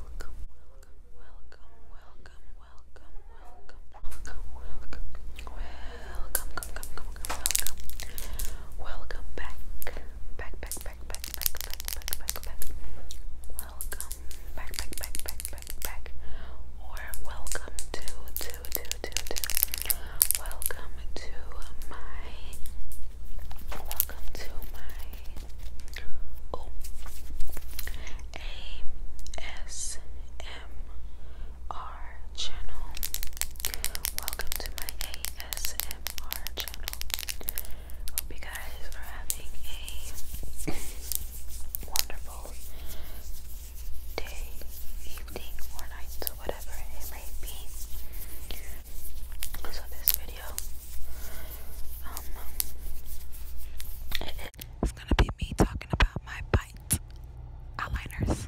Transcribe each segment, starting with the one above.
welcome, welcome, welcome, welcome, welcome, welcome, welcome, welcome, welcome, welcome, welcome back, back, back, back, back, back, back, back, back, back, welcome, back, back, back, back, back, back, or welcome to, to, to, to, to, welcome to my welcome to my oh, ASMR channel. Welcome to my ASMR channel. Hope you guys are having a wonderful day, evening, or night, or whatever it may be. So, this video um, it's gonna be me talking about my bite eyeliners.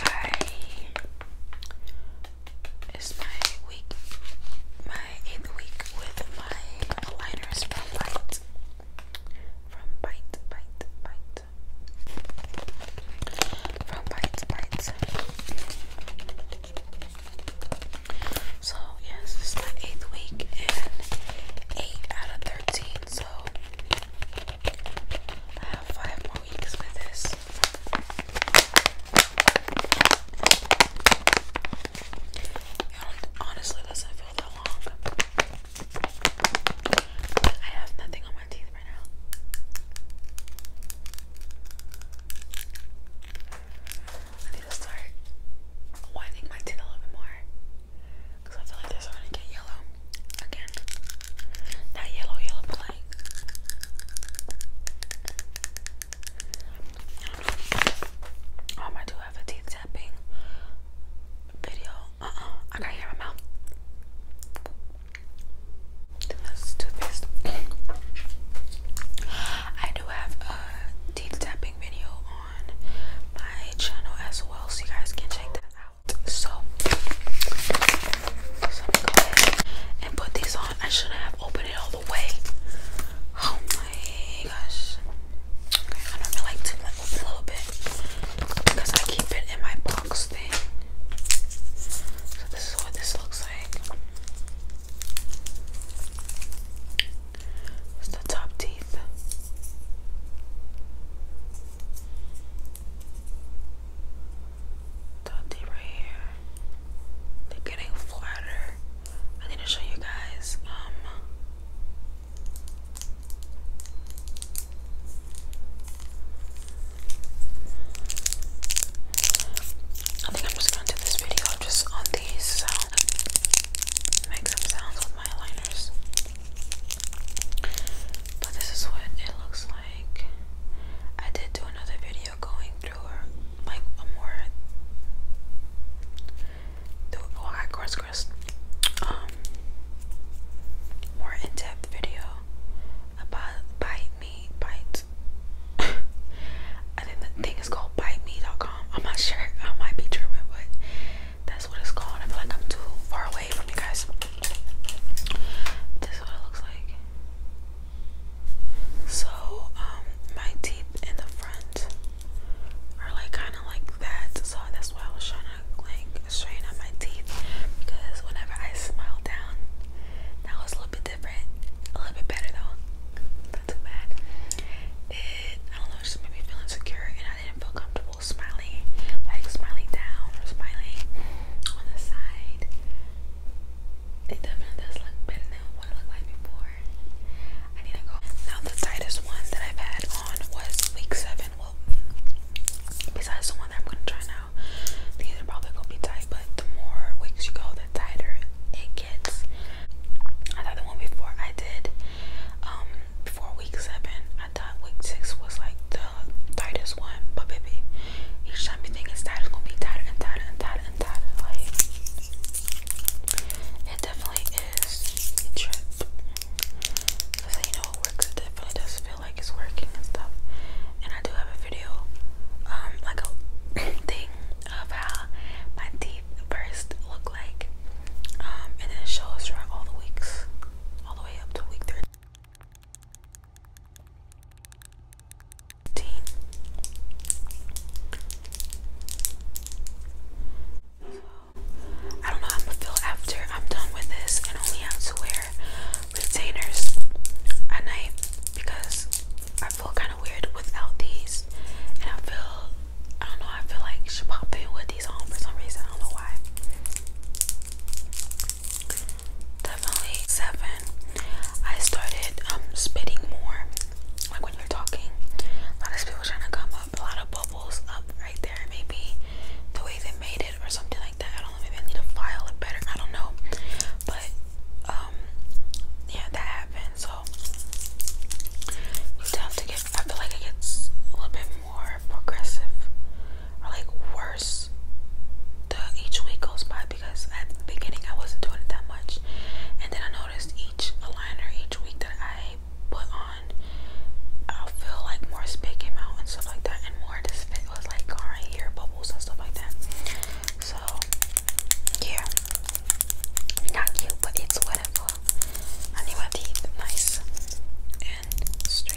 I it's my week, my eighth week with my eyeliners from Bite. From Bite, Bite, Bite. From Bite, Bite. So, yes, this my eighth week and eight out of 13. So, I have five more weeks with this. honestly doesn't feel that long. I have nothing on my teeth I need to start whitening my teeth a little bit more because I feel like they're starting to get yellow again. Not yellow, yellow, but like. Um, I do have a teeth tapping video. Uh uh, I gotta hear my mouth. I do have a teeth tapping video on my channel as well, so you guys can check that out. So, and put these on. I should have opened it all the way. Oh my gosh. Okay, I normally like to like, open a little bit because I keep it in my so this is what this looks like. It's the top teeth. Top teeth right here. They're getting flatter. I need to show you guys. Um. I think I'm just gonna do this video just on these sounds. Make some sounds with my liners. But this is what it looks like. I did do another video going through like a more oh I course crest um more in-depth video about bite me I think the thing is called bite.me.com. I'm not sure. I might be tripping, but that's what it's called. I feel like I'm too far away from you guys. This is what it looks like. So, um, my teeth in the front are like kind of like that. So that's why I was trying to like straighten out my teeth because whenever I smile down. That was a little bit different, a little bit better though. Not too bad. It, I don't know, just made me feel insecure, and I didn't feel comfortable smiling, like smiling down or smiling on the side. It definitely does look better than what it looked like before. I need to go. Now the tightest one that I've had on was week seven. Well, besides the I'm gonna try now. These are probably gonna be tight, but the more weeks you go, the tighter it gets. I thought the one before I did, um, before week seven, I thought week six was like the tightest one, but baby, each time you think it's tight, it's gonna be tighter and tighter and tighter and tighter. Like, it definitely is a trip. Cause you know it works, it definitely does fit like it's working and stuff. And I do have a video, um, like a thing of how my teeth first look like. Um, and then it shows throughout all the weeks, all the way up to week 13. So, I don't know how I'm gonna feel after I'm done with this and only have to wear retainers at night because I feel kind of weird without these, and I feel I don't know. I feel like she popped in with these on for some reason. I don't know why. Definitely seven. I started um, spitting more, like when you're talking. A lot of people trying to come up, a lot of bubbles up right there. Maybe the way they made it or something like. I don't know, maybe I need to file it better. I don't know. But um, yeah, that happened. So you have to get I feel like it gets a little bit more aggressive or like worse the each week goes by because at the beginning I wasn't doing it that much and then I noticed each aligner each week that I put on i feel like more spit out and stuff like that and more of like alright here but and stuff like that. So yeah, not cute, but it's whatever. I need my teeth nice and straight.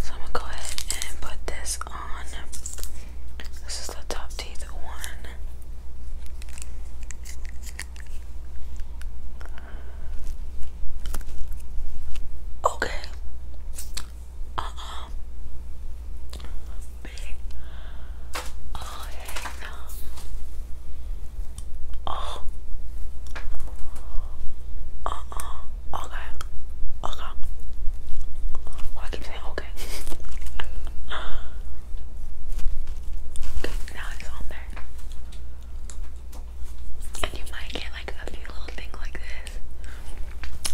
So I'm gonna go ahead and put this on. This is the top teeth one. Okay. Uh big. you Okay. Okay. Oh, keep saying okay. okay. Now it's on there. And you might get like a few little things like this.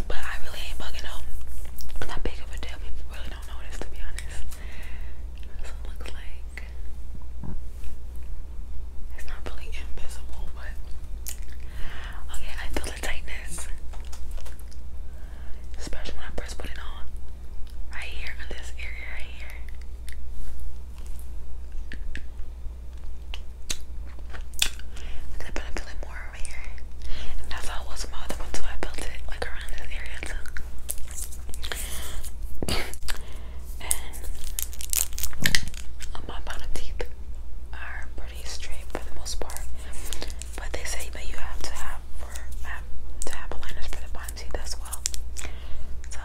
But I really ain't bugging out. Not big of a deal don't notice to be honest. So it looks like it's not really invisible, but okay, I feel the tightness. Especially when I first put it on. Right here on this area here. I feel it more over here. And that's how it was with my I built it like around this area and my bottom teeth are pretty straight for the most part. But they say that you have to have to have aligners for the bottom teeth as well. So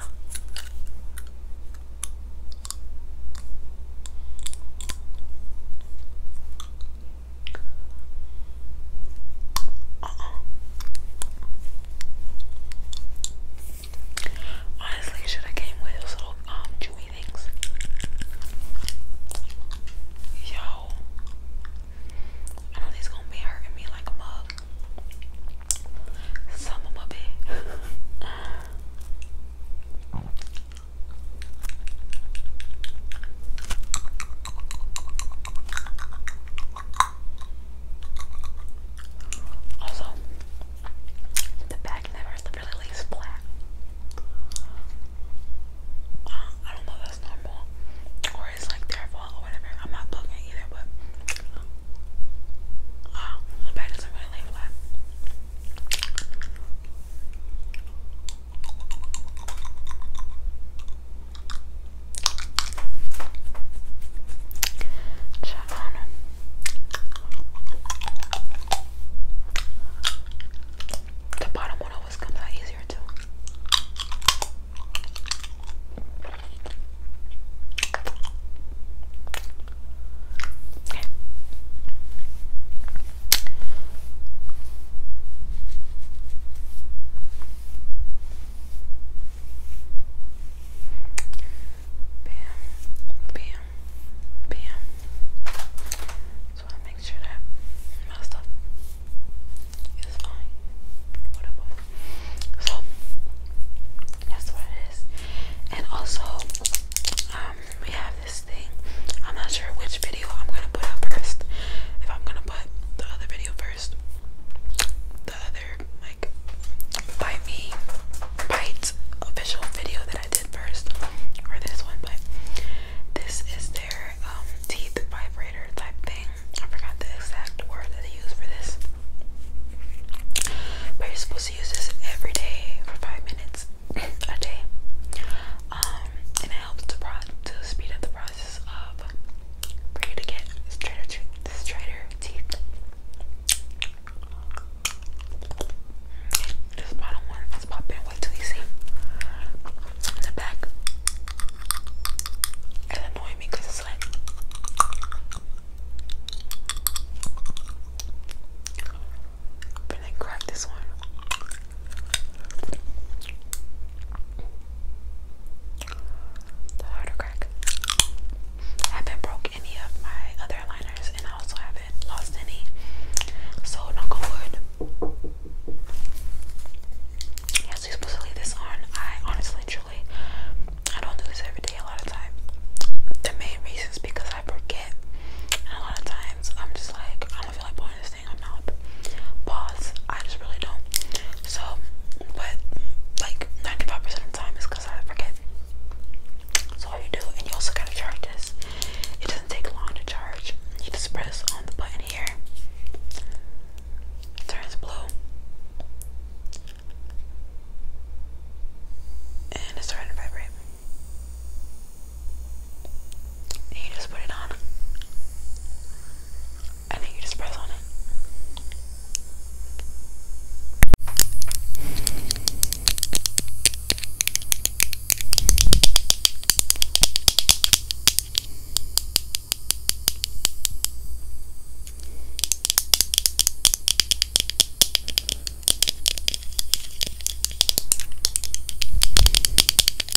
uh-uh. Honestly, should have came with those little um, chewy things. Yo, I know these gonna be hurting me like a mug. Some of my bit. Also, the back never really lays flat. Um, I don't know if that's normal or it's like their fault or whatever. I'm not booking either, but um, the back doesn't really lay flat. Czerwony. The bottom one always comes out easier too. Bam, bam, bam. Just want make sure that my stuff is fine. Whatever. So that's what it is. And also, we have this thing. I'm not sure which video I'm gonna put up first. If I'm gonna put the other video first. The other like bite me bite official video that I did first, or this one, but this is their um, teeth vibrator type thing. I forgot the exact word that they use for this. But you're supposed to use this every day for five minutes a day. Um, helps to, speed up the process of for you to get straighter, straighter teeth. Okay, this bottom one Wait till you see the back. It annoying me it's like. But then crack this one. The harder crack. I haven't broke any of my other liners and I also haven't lost any. So knock on wood. Yes, you're supposed to leave this on. I honestly truly I don't do this every day a lot of times, The main reason is because I forget. And a lot of times I'm just like, I don't feel like putting this thing i just really don't so but like 95% of time is because I forget so all you do and you also gotta charge this it doesn't take long to charge you just press on the button here it turns blue and it's starting to vibrate and you just put it on. And then you just press on it.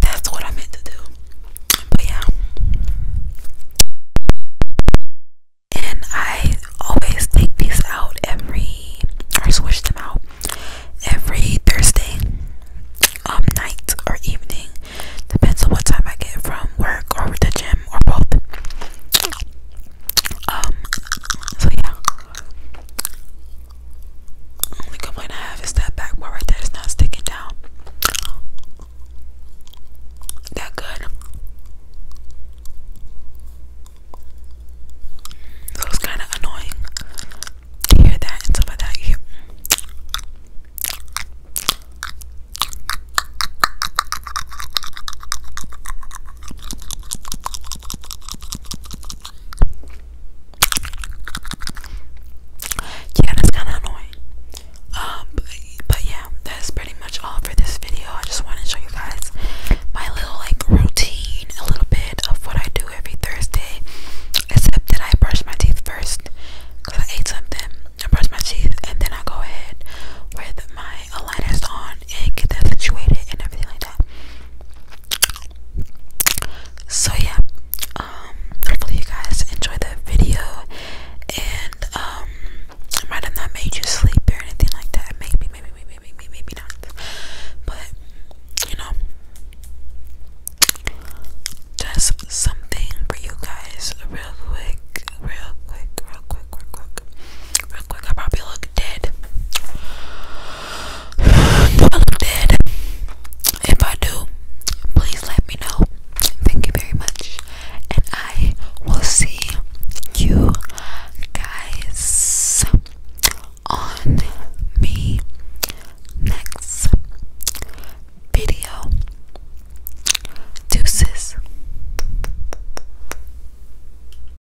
That's what I meant to do. But yeah. And I always take these out every or switch them out every Thursday um, night or evening. Depends on what time I get from work or the gym or both. Um so yeah. Only complaint I have is that back part right there is not sticking down. That good. So it's kind of annoying hear that and some of that. Yeah, that's kind of annoying. Um, but, yeah, that's pretty much all for this video. I just wanted to show you guys my little like routine, a little bit of what I do every Thursday, except that I brush my teeth first because I ate something. I brush my teeth and then I go ahead with my my aligners on and get that situated and everything like that. So yeah, um, hopefully you guys enjoyed the video and um, I might have not made you sleep or anything like that. Maybe, maybe, maybe, maybe, maybe not. But you know, just something for you guys, real quick, real quick, real quick, real quick, real quick. I probably look dead. I If I do, please let me know. Thank you very much. And I will see you guys on me next video. Deuces.